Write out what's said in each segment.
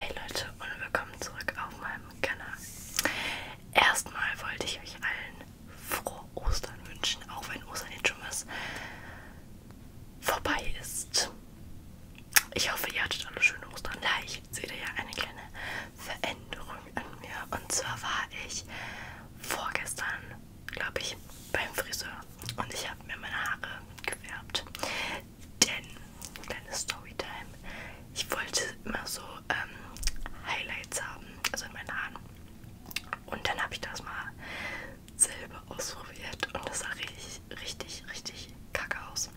Hey Leute und willkommen zurück auf meinem Kanal. Erstmal wollte ich euch allen frohe Ostern wünschen, auch wenn Ostern jetzt schon was vorbei ist. Ich hoffe, ihr hattet alle schöne Ostern. Gleich seht ihr ja eine kleine Veränderung an mir. Und zwar war ich vorgestern, glaube ich, beim Friseur und ich habe mir meine Haare gefärbt. Denn, kleine Storytime, ich wollte immer so ähm, Highlights haben, also in meinen Haaren. Und dann habe ich das mal selber ausprobiert und das sah richtig, richtig, richtig kacke aus.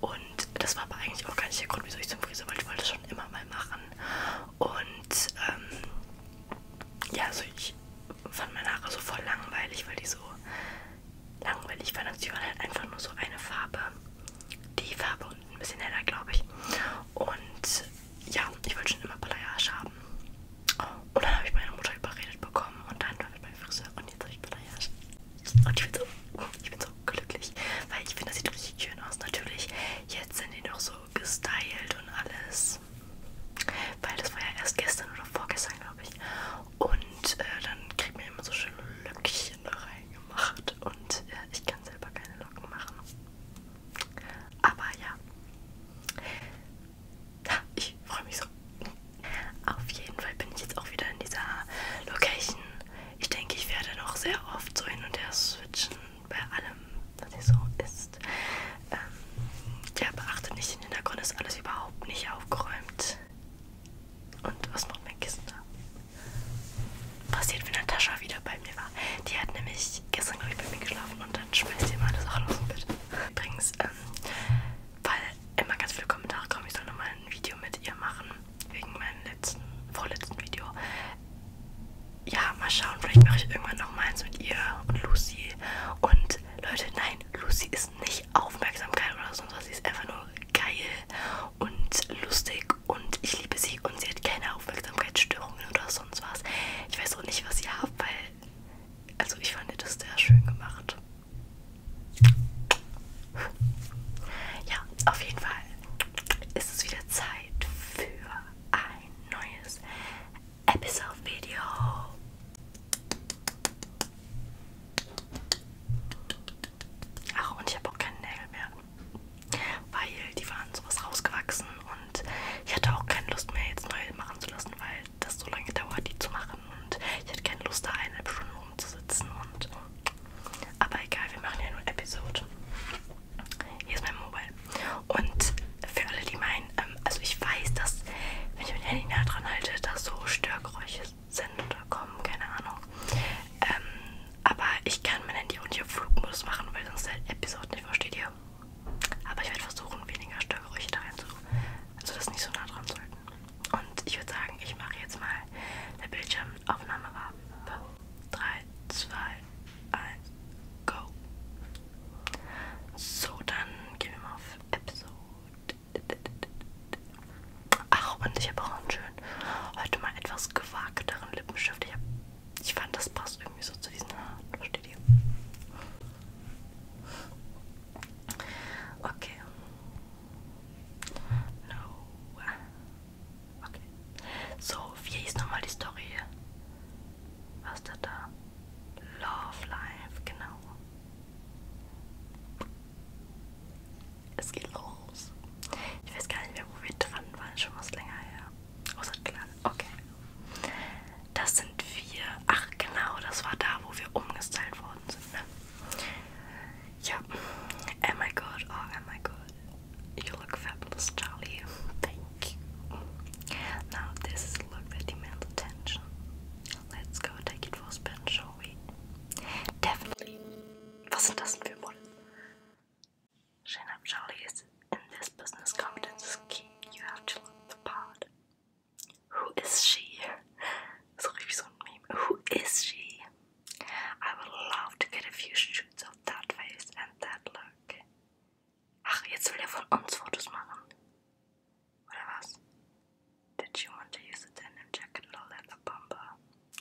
Und das war aber eigentlich auch gar nicht der Grund, wieso ich zum Friseur wollte. Ich wollte das schon immer mal machen. Und ähm, ja, also ich fand meine Haare so voll langweilig, weil die so langweilig, weil National hat einfach nur so eine Farbe. Die Farbe und ein bisschen heller, glaube ich. Und ja, ich wollte schon immer Balayage haben. Und dann habe ich meine Mutter überredet bekommen und dann war ich beim Friseur und jetzt habe ich Balayage. Und ich bin, so, ich bin so glücklich, weil ich finde, das sieht richtig schön aus. Natürlich, jetzt sind die noch so gestylt und alles. Weil das war ja erst gestern oder vorgestern, glaube ich. Und äh, dann kriegt man immer so schöne Löckchen da reingemacht. Und äh, ich kann selber keine Locken machen. Aber ja. ja ich freue mich so. Auf jeden Fall bin ich jetzt auch wieder in dieser Location. Ich denke, ich werde noch sehr oft so hin und her switchen bei allem, was hier so ist. Ähm, ja, beachte nicht den Hintergrund, ist alles überhaupt nicht aufgeräumt. Und was macht mein Kissen da? Passiert, wenn Natascha wieder bei mir war. Die hat nämlich gestern, glaube ich, bei mir geschlafen und dann schmeißt die immer alle Sachen aus dem Bett. Übrigens, ähm, weil immer ganz viele Kommentare kommen, ich soll nochmal ein Video mit ihr machen, wegen meinem letzten, vorletzten Video. Ja, mal schauen, vielleicht mache ich irgendwann nochmal eins mit ihr und Lucy. Und Leute, nein, Lucy ist nicht Aufmerksamkeit oder so, sondern sie ist einfach nur geil und lustig und ich liebe sie und sie hat keine Aufmerksamkeitsstörungen oder sonst was. Ich weiß auch nicht, was ihr habt, weil, also ich fand das sehr schön gemacht. Ja, auf jeden Fall ist es wieder Zeit für ein neues Episode-Video. Ach, und ich habe auch keine Nägel mehr. Weil die waren sowas rausgewachsen und ich hatte auch keine Lust mehr, jetzt neue machen zu lassen, weil das so lange dauert, die zu machen. Und ich hatte keine Lust, da eineinhalb Stunden rumzusitzen. Und aber egal, wir machen ja nur Episode. Hier ist mein Mobile. Und für alle, die meinen, ähm, also ich weiß, dass wenn ich mein Handy nah dran halte, da so Störgeräusche sind oder kommen, keine Ahnung. Ähm, aber ich kann mein Handy auch nicht auf Flugmodus machen, weil sonst der Episode nicht versteht ihr. Aber ich werde versuchen, weniger Störgeräusche da reinzuholen, sodass nicht so nah dran sollten. Und ich würde sagen, ich mache jetzt mal eine Bildschirmaufnahme ab. 3, 2, 1, go. So, dann gehen wir mal auf Episode Ach, und ich habe auch einen schönen, heute mal etwas gewagteren Lippenstift. Ich, hab, ich fand, das passt irgendwie so zu diesen Haaren. Versteht ihr? Okay. No. Okay. So, wie hieß nochmal die Story? Was ist da da? Love Life, genau. Es geht los. Ich weiß gar nicht mehr, wo wir dran waren, schon was länger her. Außer oh, klar. Okay. Das sind wir. Ach genau, das war da, wo wir umgestylt worden sind. Ne? Ja. Oh my god, oh, oh my god. You look fabulous, Charlie. Thank you. Now this is a look that demands attention. Let's go take it for a spin, shall Halloween. Definitely. Was sind das denn für Munden? Shanab Charlie is in this business competence scheme. You have to look the part. Who is she? So richtig so ein Meme. Who is she? I would love to get a few shoots of that face and that look. Ach, jetzt will er von uns Fotos machen. What else? Did you want to use a denim jacket or a leather bomber?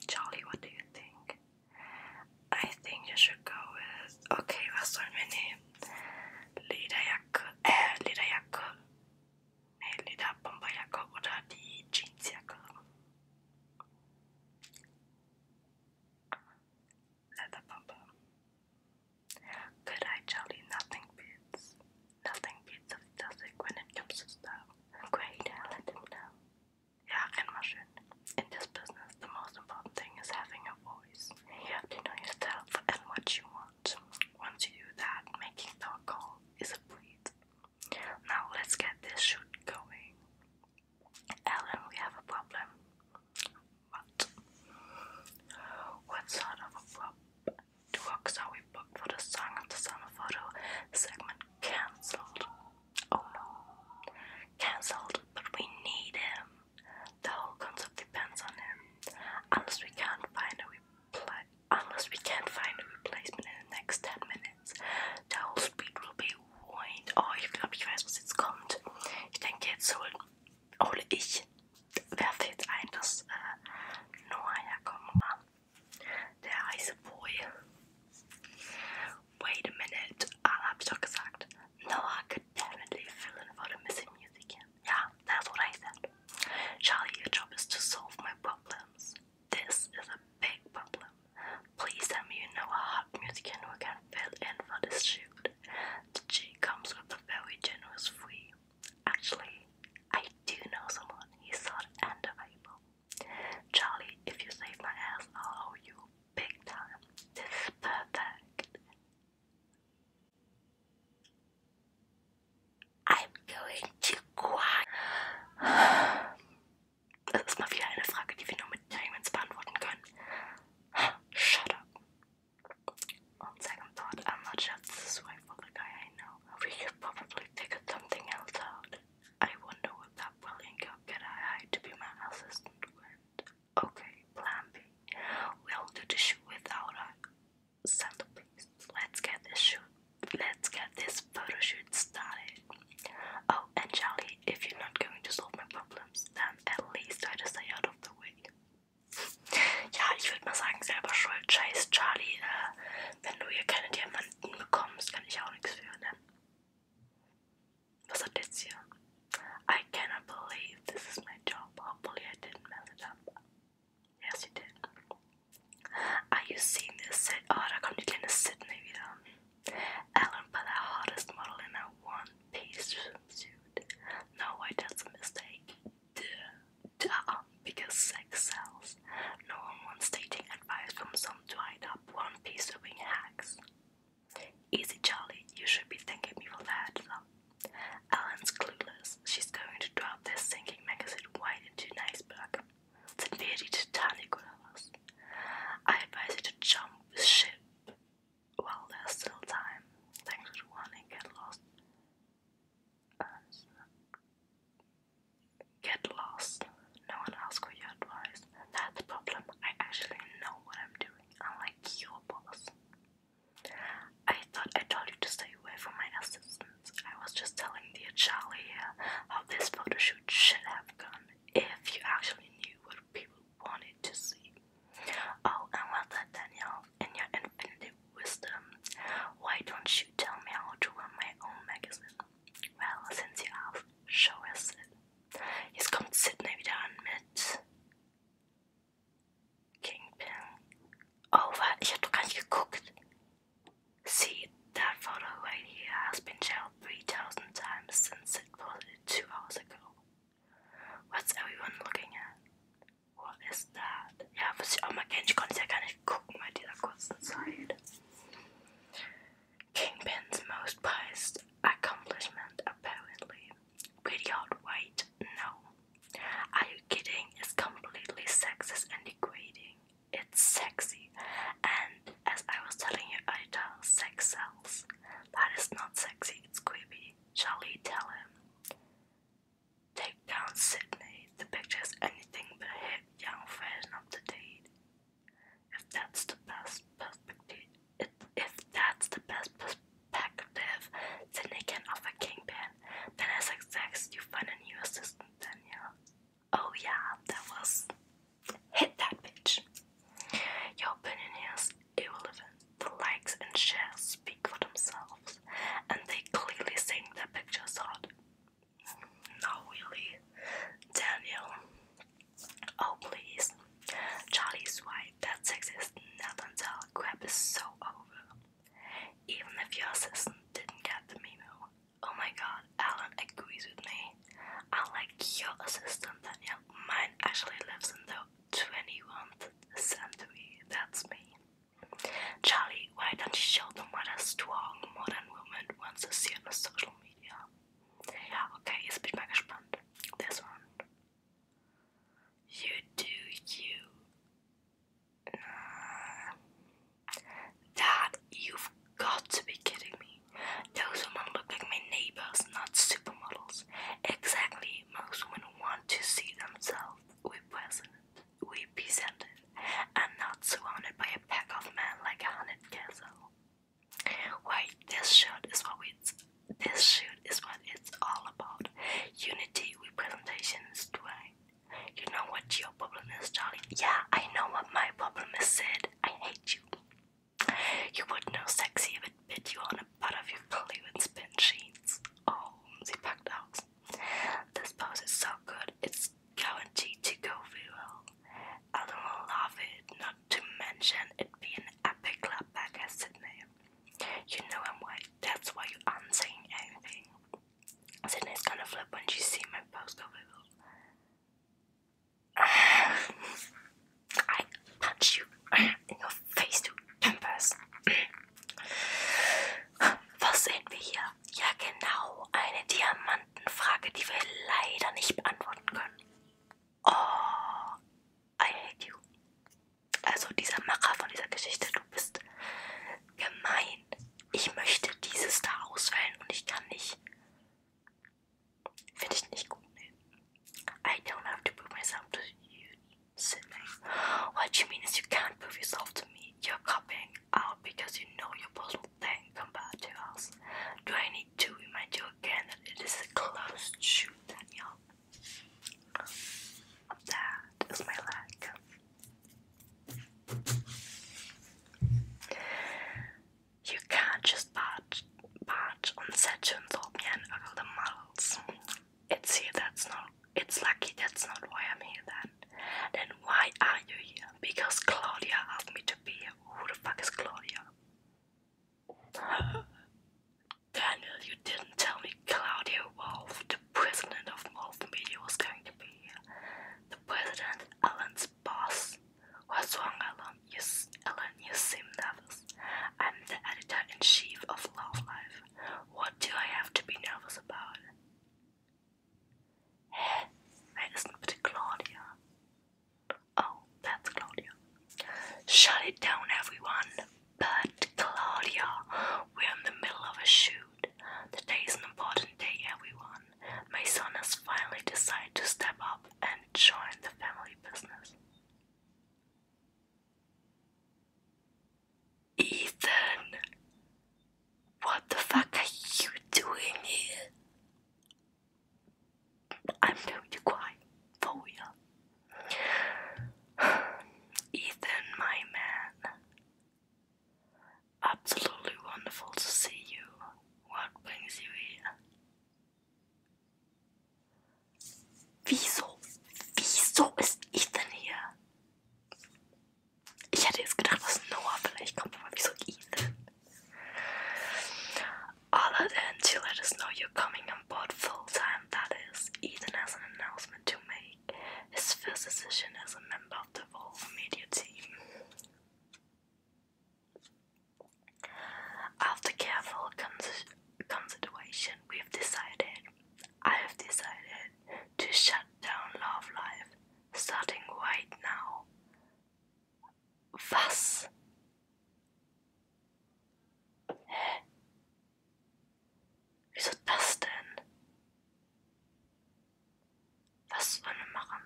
Charlie, what do you think? I think you should go with. Okay, was sollen wir nehmen? Lederjacke, äh, Lederjacke. Nee, Lederbomberjacke oder die Jeansjacke. Leather bomber. Good eye, Charlie, nothing beats. Nothing beats a classic when it comes to style. Great, let them know. Yeah, and Mushroom. In this business, the most important thing is having a voice. You have to know yourself and what you want. Once you do that, making the call is a breeze. Now let's get this shoot going. Ellen, we have a problem. What? What sort of a problem? Two works are for the Song of the Summer photo segment cancelled. Oh no. Cancelled, but we need him. The whole concept depends on him. Unless we can't find a repli- unless we can't find a replacement in the next 10 minutes, the whole speed will be ruined. Oh, ich glaube, ich weiß, was jetzt kommt. Ich denke, jetzt hol, hole ich. Wer fehlt ein, dass äh, Der Eisboy. Wait a minute, Al habe ich doch gesagt. Noah could definitely fill in for the missing music. Yeah, that's what I said. Charlie, your job is to solve my problems. This is a big problem. Please send me a Noah hot music who can fill in for this shoot. The comes with a very generous fee. Actually, I do know someone. He's hot and available. Charlie, if you save my ass, I'll owe you big time. This is perfect. I'm going to quack. Das ist mal wieder eine Frage, die wir nur mit Diamonds beantworten Shut up. On second thought, I'm not sure this is right for the guy I know. We could probably figure something else out. I wonder what that brilliant girl can I hire to be my assistant Okay, plan B. We'll do the shoot without a centerpiece. Let's get this shoot. Let's get this photo shoot started. Oh, and Charlie, if you're not going to solve my problems, then at least try to stay out of the way. Ja, ich würde mal sagen, selber schuld. Scheiß Charlie, uh, wenn du hier keinen Diamanten bekommst, kann ich auch nichts für, ne? Was hat das hier? I cannot believe this is my job. Hopefully I didn't mess it up. Yes, you did. Are you seeing this set? Oh, ah, da kommt die kleine Sydney wieder. Ellen but the hottest model in a one-piece swimsuit. No way, that's a mistake the, the sex sells. No one wants dating advice from some dried up one piece wing hacks. Easy Charlie, you should be thanking me for that, love. Ellen's clueless. She's going to drop this sinking magazine wide into an iceberg. It's a very titanic us. I advise you to jump ship while there's still time. Thanks for the warning, get lost get lost. No one else for your advice. That's the problem. I actually know what I'm doing, unlike your boss. I thought I told you to stay away from my assistants. I was just telling the Charlie how this photo shoot should have gone if you actually knew what people wanted to see. Oh, and what's that, Danielle? In your infinity wisdom. Why don't you tell me how to run my own magazine? Well, since you asked, show us it. Jetzt kommt Sydney wieder an mit Kingpin. Oh, what? Ich hab doch gar nicht geguckt. See, that photo right here has been shared 3,000 times since it posted two hours ago. What's everyone looking at? What is that? Yeah, was oh I auch mal kenne. Ich konnte es ja gar nicht gucken bei dieser kurzen Zeit. Kingpin's most prized accomplishment, apparently. Pretty hard, No. Are you kidding? It's completely sexist and degrading. It's sexy. And as I was telling you I earlier, sex sells. That is not sexy, it's creepy. Shall we tell him? take down Sydney, the picture's anything but a hip young version of the deed. If that's the best perspective, it, if that's the best perspective Sydney can offer Kingpin, then I suggest you find a new assistant, Daniel. Oh yeah, that was... Hit that bitch. Your opinion is irrelevant. The likes and shares speak for themselves, and they clearly think their picture's hot. Not really. Daniel. Oh, please. Charlie's wife. That sexist nut and crap is so over. Even if your assistant didn't get the memo. Oh my god, Alan agrees with me. I'm like your assistant, Daniel, mine actually lives in the twenty-first century. That's me. Charlie, why don't you show them what a strong modern woman wants to see on the social media? okay, jetzt bin ich mal This one. You do you. Nah. Dad, you've got to be kidding me. Those women look like my neighbors, not supermodels. Exactly, most women want to see themselves with we present, and not surrounded by a pack of men like a hunted castle. Why, this shoot is what we, this shoot is what it's all about. Unity representation is strength. You know what your problem is, Charlie? Yeah, I know what my problem is, Sid. I hate you. You would know sexy if it bit you on a butt of your clearance bin sheets. Oh, sie packt aus. This pose is so good, it's guaranteed to go viral. I'm Ellen will love it, not to mention it'd be an epic clapback at Sydney. You know I'm white, that's why you aren't saying anything. Sydney's gonna flip when she sees my pose go viral. I punch you in your face to tempest. Was sehen wir hier? Ja, genau. Eine Diamantenfrage, die wir leider nicht beantworten können. Oh, I hate you. Also dieser Macher von dieser Geschichte, du bist gemein. Ich möchte dieses da auswählen und ich kann nicht. Finde ich nicht gut. Nee. I don't have to prove myself to you, silly. What you mean is you can't prove yourself to me. You're copying. out oh, because you know your puzzle thing compared to us. Do I need to remind you again that it is a closed shoe, Daniel? That is my leg. You can't just barge, barge on set Saturn's orbit and other models. It's here that's not it's lucky that's not why I'm here then. Then why are you here? Because Claudia asked me to be here. Who the fuck is Claudia? Daniel, you didn't tell me Claudia Wolf, the president of Wolf Media, was going to be here. The president, Alan's boss. was wrong, Alan? You, Alan, you seem nervous. I'm the editor in chief of Love Life. What do I have to be nervous about? Hä? Wer ist Claudia? Oh, that's Claudia. Shut it down, everyone. But Claudia, we're in the middle of a shoot. Today is an important day, everyone. My son has finally decided to step up and join the family business. Ethan, what the fuck are you doing here? I'm going to cry for you. Ethan, my man. Absolutely wonderful to see you. What brings you here? Wieso? Wieso ist Ethan hier? Ich hätte to let us know you're coming on board full time, that is, Ethan has an announcement to make. His first decision as a member of the Volvo media team. After careful consideration, we've decided, I have decided to shut down Love Live, starting right now. Was? Hä? Wieso das denn? Was wollen wir machen?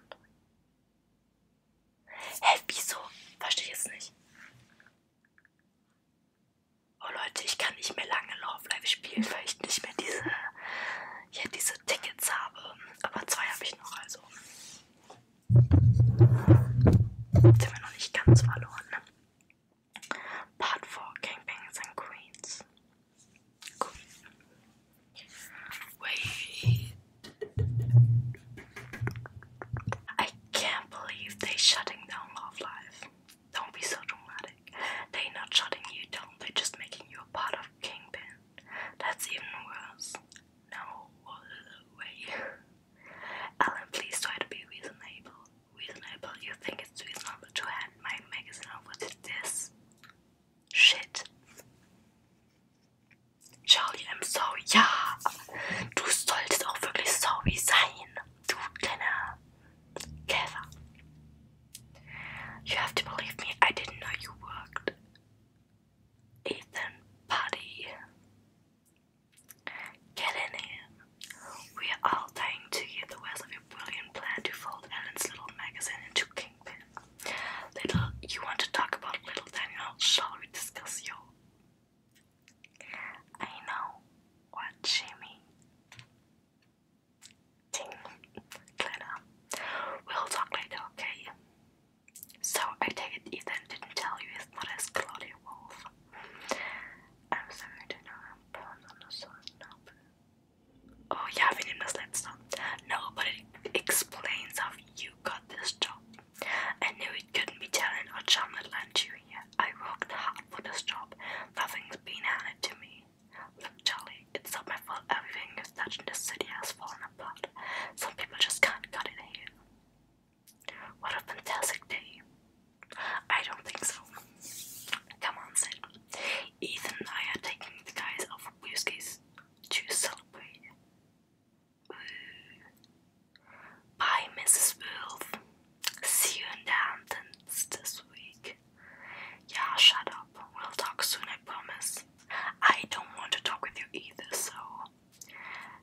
Hä, wieso? Verstehe ich jetzt nicht. Oh Leute, ich kann nicht mehr lange Love Live spielen, weil ich nicht mehr diese, ja, diese Tickets habe. Aber zwei habe ich noch, also. Sind wir noch nicht ganz verloren. Ne? Part 4 Gangbangs and Queens. Queen. Wait. I can't believe they're shutting down Love Live. Don't be so dramatic. They're not shutting you down, they're just making you a part of Kingpin. That's even worse. No way. Alan, please try to be reasonable. Reasonable? You think it's reasonable to hand my magazine over this? Shit. Charlie, I'm sorry. Ja, du solltest auch wirklich sorry sein. Du kleiner you have to believe me, I didn't know you worked. Ethan, Paddy, get in here. We are all dying to hear the words of your brilliant plan to fold Ellen's little magazine into Kingpin. Little, you want to talk about Little Daniel? Shall we discuss your? I know what she ting We'll talk later, okay? So I take Ethan didn't tell you his mother is Claudia Wolf. I'm sorry to I'm born on the Oh yeah, we didn't miss No, but it explains how you got this job. I knew it couldn't be talent or charm that I worked hard for this job. Nothing's been handed to me. Look, Charlie, it's not my fault everything you've touched in this city has fallen apart. Some people just can't cut it here. What a fantastic day. I don't think so. Come on, Sid. Ethan I are taking the guys off Whiskey's to celebrate. Bye, Mrs. Wolf. See you in the Hamptons this week. Yeah, shut up. We'll talk soon, I promise. I don't want to talk with you either, so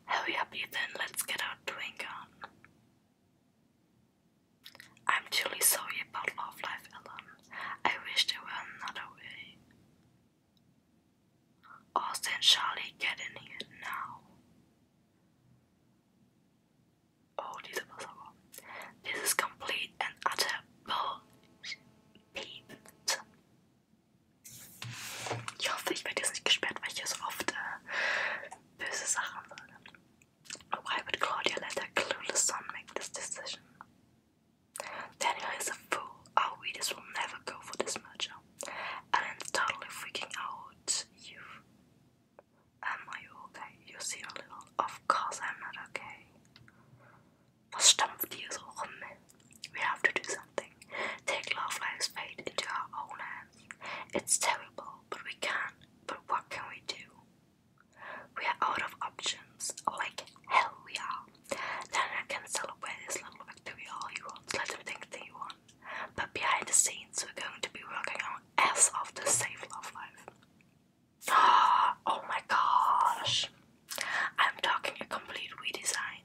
hurry up, Ethan. Let's get our drink on. I'm truly sorry about Love Life, Ellen. I wish there were another way. Austin, Charlie, get in here now. Oh, this is possible. This is complete and utter bullshit. Ich hoffe, ich werde jetzt nicht gesperrt, weil ich hier so oft äh, böse Sachen sage. Why Claudia let a clueless son make this decision? Daniel is a fool. Our readers will never go for this merger. Ellen's totally freaking out. you Am I okay? You seem a little. Of course, I'm not okay. Was stampft hier so rum? We have to do something. Take Love Life's fate into our own hands. It's terrible, but we can. But what can we do? We are out of options. Like hell, we are. Lana can celebrate this little victory all he wants. Let him think that But behind the scenes, we're going to be working our ass off to save Love Life. Oh my gosh! I'm talking a complete redesign.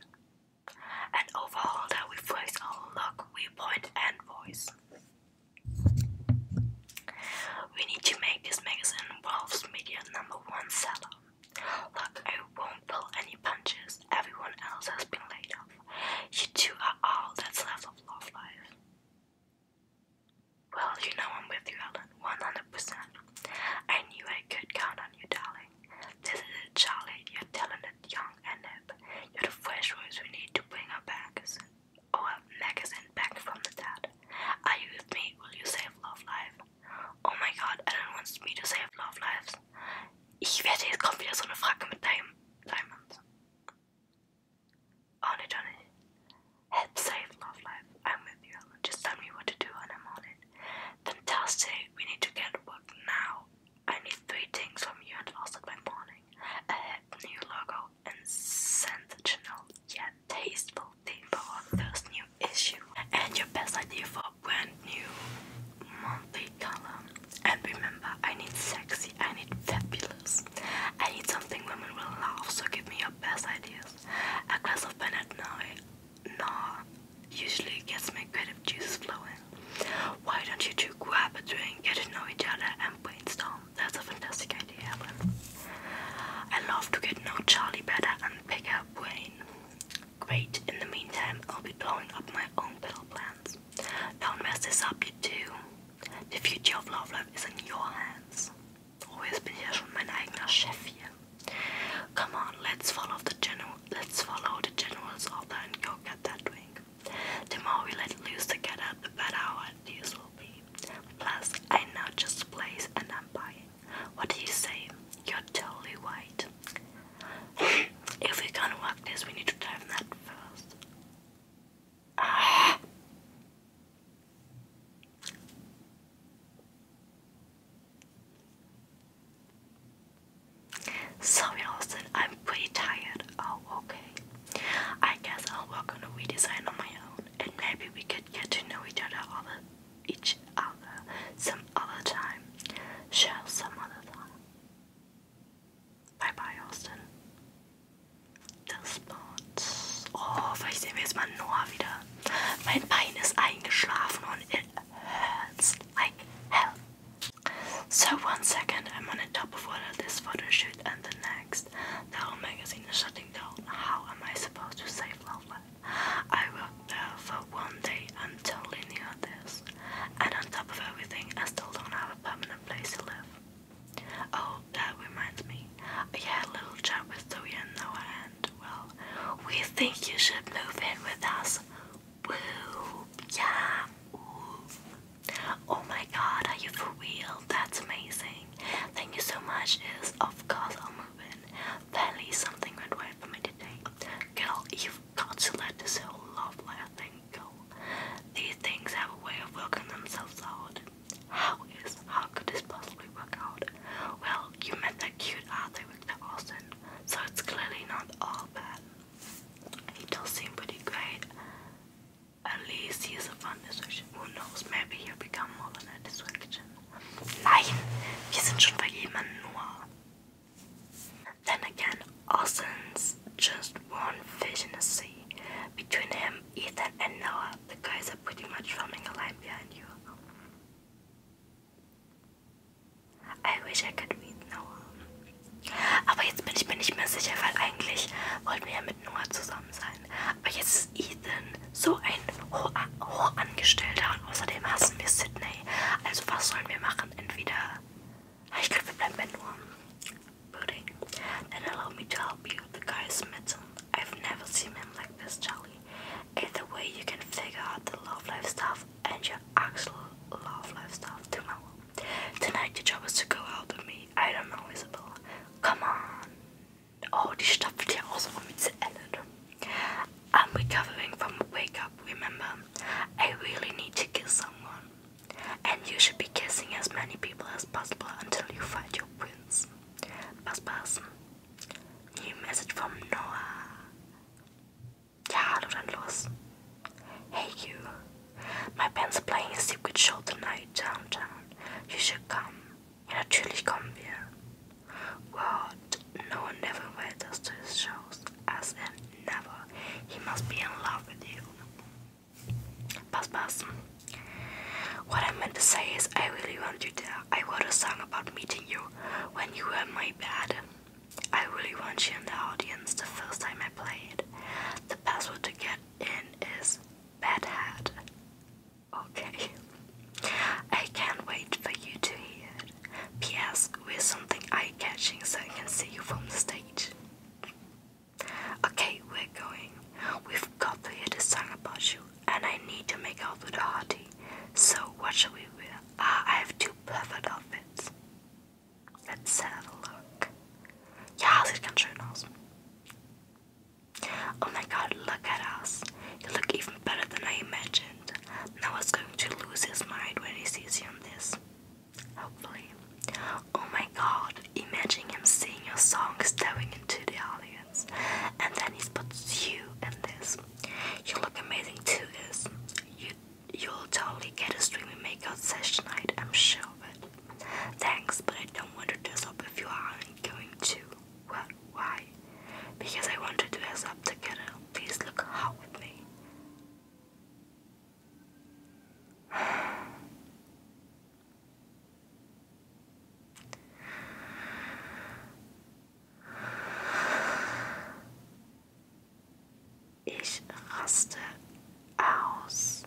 An overhaul that we reflects our look, viewpoint, and voice. We need to make this magazine Wolf's Media number one seller. Look, I won't pull any punches. Everyone else has been laid off. You two are all that's left of Love Life. Well, you know I'm with you, Ellen, 100%. I knew I could count on you, darling. This is it, Charlie. You're talented, young, and hip. You're the fresh voice we need to bring our magazine, our magazine back from the dead. Are you with me? Will you save Love lives? Oh my god, Ellen wants me to save Love Lives. Ich wette, jetzt kommt wieder so eine Frage mit Diamond. On it, on it. Head safe, love life. I'm with you, Just tell me what to do and I'm on it. Fantastic. We need to get work now. I need three things from you and also by morning. A head, new logo, and sensational yet tasteful theme for our new issue. And your best idea for a brand new monthly column. And remember, I need sexy I need fabulous. I need something women will love, so give me your best ideas. A glass of Bennett now, nah, usually gets my creative juices flowing. Why don't you two grab a drink, get to know each other, and brainstorm? That's a fantastic idea, I love to get to know Charlie better and pick up Wayne. Great, in the meantime, I'll be blowing up my own little plans. Don't mess this up, you two. The Future of Love Life is in your hands. Oh, jetzt bin schon mein eigener Chef hier. Come on, let's follow the general, let's follow the general's order and go get that ring. The more we let loose together, the better our ideas will be. Plus, I know just the and I'm buying. What do you say? You're totally right. if we're gonna work this, we need to dive that first. Sorry, Austin, I'm pretty tired. Oh, okay. I guess I'll work on a redesign on my own, and maybe we could get to know each other other each other some other time. Sure, some other time. Bye bye, Austin. Das Boot. Oh, vielleicht sehen wir jetzt mal Noah wieder. Mein Bein ist So, one second, I'm on the top of of this photo shoot and the next. The whole magazine is shutting down. How am I supposed to save love I worked there for one day and totally knew this. And on top of everything, I still don't have a permanent place to live. Oh, that reminds me. I had a little chat with Zoe and and well, we think you should move in with us. Woo! Yeah! Ooh. Oh my god, are you for real? That's amazing. Thank you so much. Is of course I'll move in. Apparently, something went right for me today. Girl, you've got to let this whole love life thing go. These things have a way of working themselves out. How is how could this possibly work out? Well, you met that cute Arthur Victor Austin, so it's clearly not all bad. He does seem pretty great. At least he is a fun musician. Who knows? Maybe he'll become more than a distraction. Nein, wir sind schon bei jemandem nur. Then again, Austin's was just one fish in the sea. Between him, Ethan, and Noah, the guys are pretty much forming a line behind you. I wish I could read Noah. Aber jetzt bin ich mir nicht mehr sicher, weil eigentlich wollten wir ja mit Noah zusammen sein. Aber jetzt ist Ethan so ein Ho Hochangestellter und außerdem hassen wir Sydney. Also was sollen wir machen? Entweder... Ich glaube, wir bleiben bei Noah. pudding and allow me to help you. The guy is I've never seen him like this, Charlie. Either way, you can figure out the love life stuff and your actual love life stuff tomorrow. Tonight, your job is to go out with me. I don't know, Isabel. Come on. Oh, die stopft here also rum mit Ellen. I'm recovering from a wake up, remember? I really need to kill someone. And you should be kissing as many people as possible until you find your prince. Buzz New message from Noah. Ja, hallo Hey you. My band's playing a secret show tonight downtown. You should come. natürlich kommen wir. What? No one never invites us to his shows. As in, never. He must be in love with you. Pass, pass. What I meant to say is, I really want you to. I wrote a song about meeting you when you were my bad. I really want you in the audience the first time I played. The password to get in is bad hat. Okay. I can't wait for you to hear it. P.S. We're something eye catching so I can see you from the stage. Okay, we're going. We've got to hear the song about you, and I need to make out with a hearty. So, what shall we wear? Ah, I have two perfect outfits. Let's have a look. Ja, sieht ganz schön aus. Oh my god, look at us. You look even better than I imagined. Noah's going to lose his mind when he sees you in this. Hopefully. Oh my god, imagine him singing your song staring into the audience. And then he puts you in this. You look amazing too, is you you'll totally get a streaming makeout session night, I'm sure of it. Thanks, but I don't want to dress up if you aren't going to. Well, why? Because I want to dress up together. Please look out with me. Ich raste aus.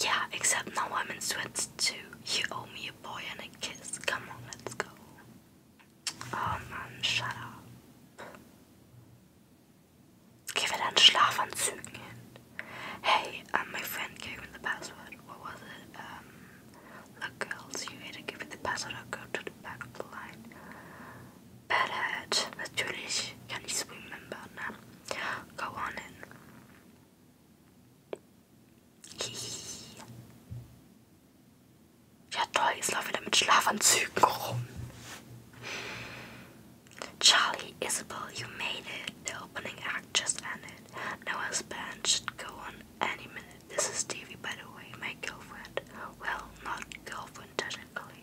Yeah, except now I'm in sweats too. You owe me a boy and a kiss. Come on, let's go. Oh man, shut up. Give it an Schlafanzügen in. Hey, um, my friend gave me the password. What was it? Um, look, girls, you either give me the password go to the back of the line. Badass, natürlich kann ich's remember, ne? Go on in. Ja toll, jetzt laufen wieder mit Schlafanzügen rum. Charlie, Isabel, you made it. The opening act just ended. Noah's band should go on any minute. This is Stevie, by the way, my girlfriend. Well, not girlfriend technically.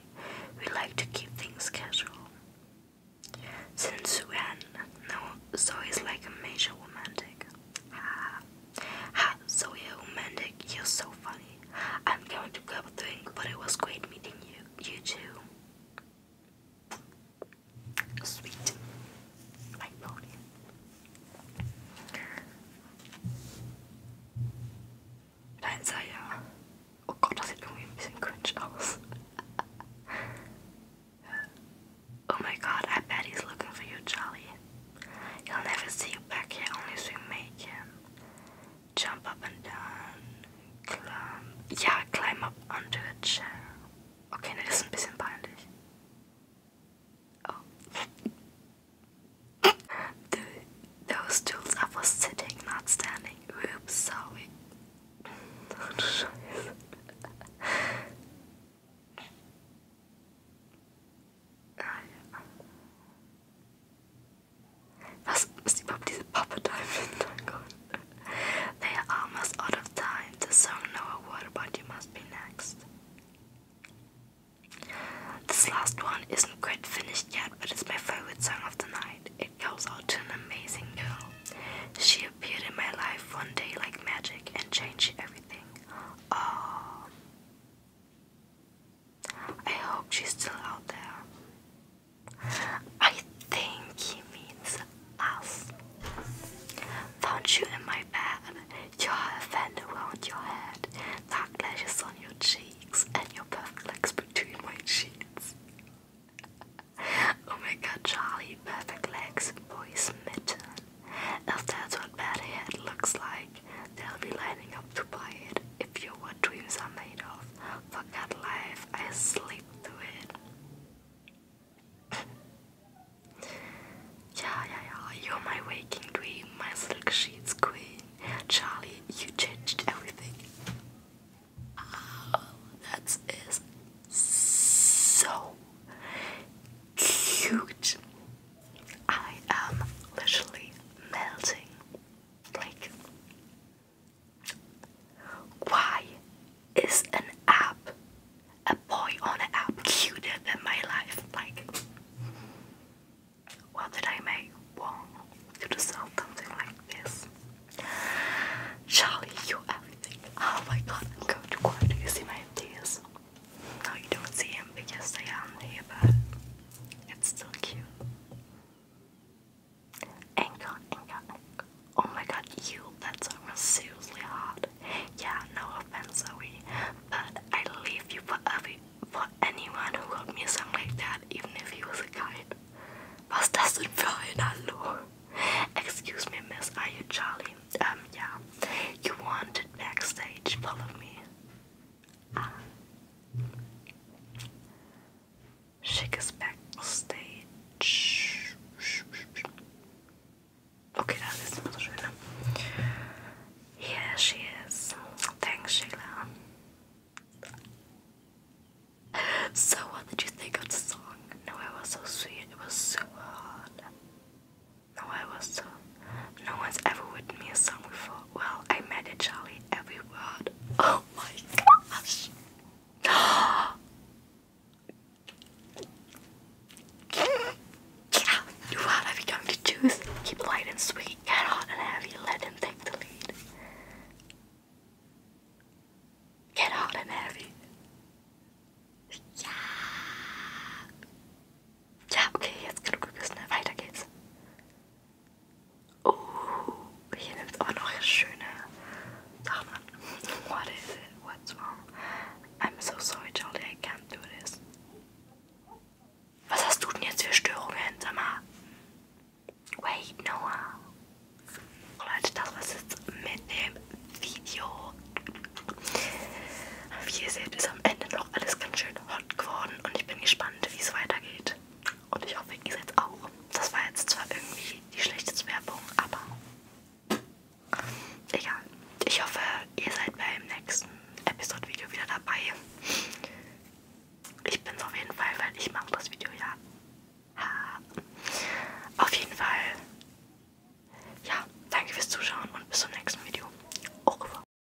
We like to keep things casual. Since when? No, Zoe's like a major romantic. Ha. Ha, Zoe romantic, you're so funny. I'm going to a away, but it was great meeting you. You too. Sweet. My pony. Nein, sei uh, Oh Gott, das sieht irgendwie ein bisschen cringe aus. oh my god, I bet he's looking for you, Charlie. He'll never see you back here unless we make him. Jump up and down. Climb. Ja, climb up onto a chair. Okay, ne, das ist ein bisschen Oh. those stools I was sitting, not standing. Oops, sorry. Scheiße. ah, Das ist überhaupt diese Puppet da im They are almost out of time. The song Noah, what you must be next. This last one isn't quite finished yet, but it's my favorite song of the night. It goes out to an amazing girl. She appeared in my life one day like magic and changed everything. Oh. I hope she's still out there. I think he means us. Found you in my bed, your hand around your head, dark lashes on your cheeks, and your perfect legs between my sheets. oh my god, Charlie, perfect legs, boy's mitten. that's what bad looks like, They'll be lining up to buy it if your dreams are made of. Forget life, I sleep through it. yeah, yeah, yeah, you're my waking dream, my silk sheets queen. Charlie, you changed everything. Oh, that is so cute. I am literally melting. Like, why is an app, a boy on an app, cuter than my life? Like, what did I make wrong to deserve something like this? Charlie, you're everything. Oh my god, I'm going to cry. Do you see my tears? No, you don't see him because they aren't here, but it's so cute. Anka, Anka, Anka. Oh my god, you, that's seriously hard. Yeah, no offense, Zoe, but I leave you for every, for anyone who got me something like that, even if he was a guide. Was das denn für ein Excuse me, miss, are you Charlie? Um, yeah. You wanted backstage, follow me. Shake us backstage. Okay, that ist immer so Here she is. Thanks, Sheila. So, what did you think of the song? No, I was so sweet. It was so hard. No, I was so no one's ever written me a song before. Well, I met it, Charlie every word. Oh my gosh. yeah, you are have become to choose. Keep light and sweet, get hot and heavy, let him take the lead. Get hot and heavy. Yeah. Ja, okay, jetzt genug gebissen. Ne? Weiter geht's. Oh, hier nimmt es aber noch schöne Sachen an. What is it? What's wrong? I'm so sorry, Charlie, I can't do this. Was hast du denn jetzt für Störungen, sag mal? Wait, Noah. Leute, das war's jetzt mit dem Video. Wie ihr seht, ist am Ende noch auch alles ganz schön hot geworden und ich bin gespannt, wie es weitergeht. Und ich hoffe, ihr seid auch. Das war jetzt zwar irgendwie die schlechteste Werbung, aber egal. Ich hoffe, ihr seid beim nächsten Episode-Video wieder dabei. Ich bin es auf jeden Fall, weil ich mache das Video ja. Ha. Auf jeden Fall. Ja, danke fürs Zuschauen und bis zum nächsten Video. Au revoir.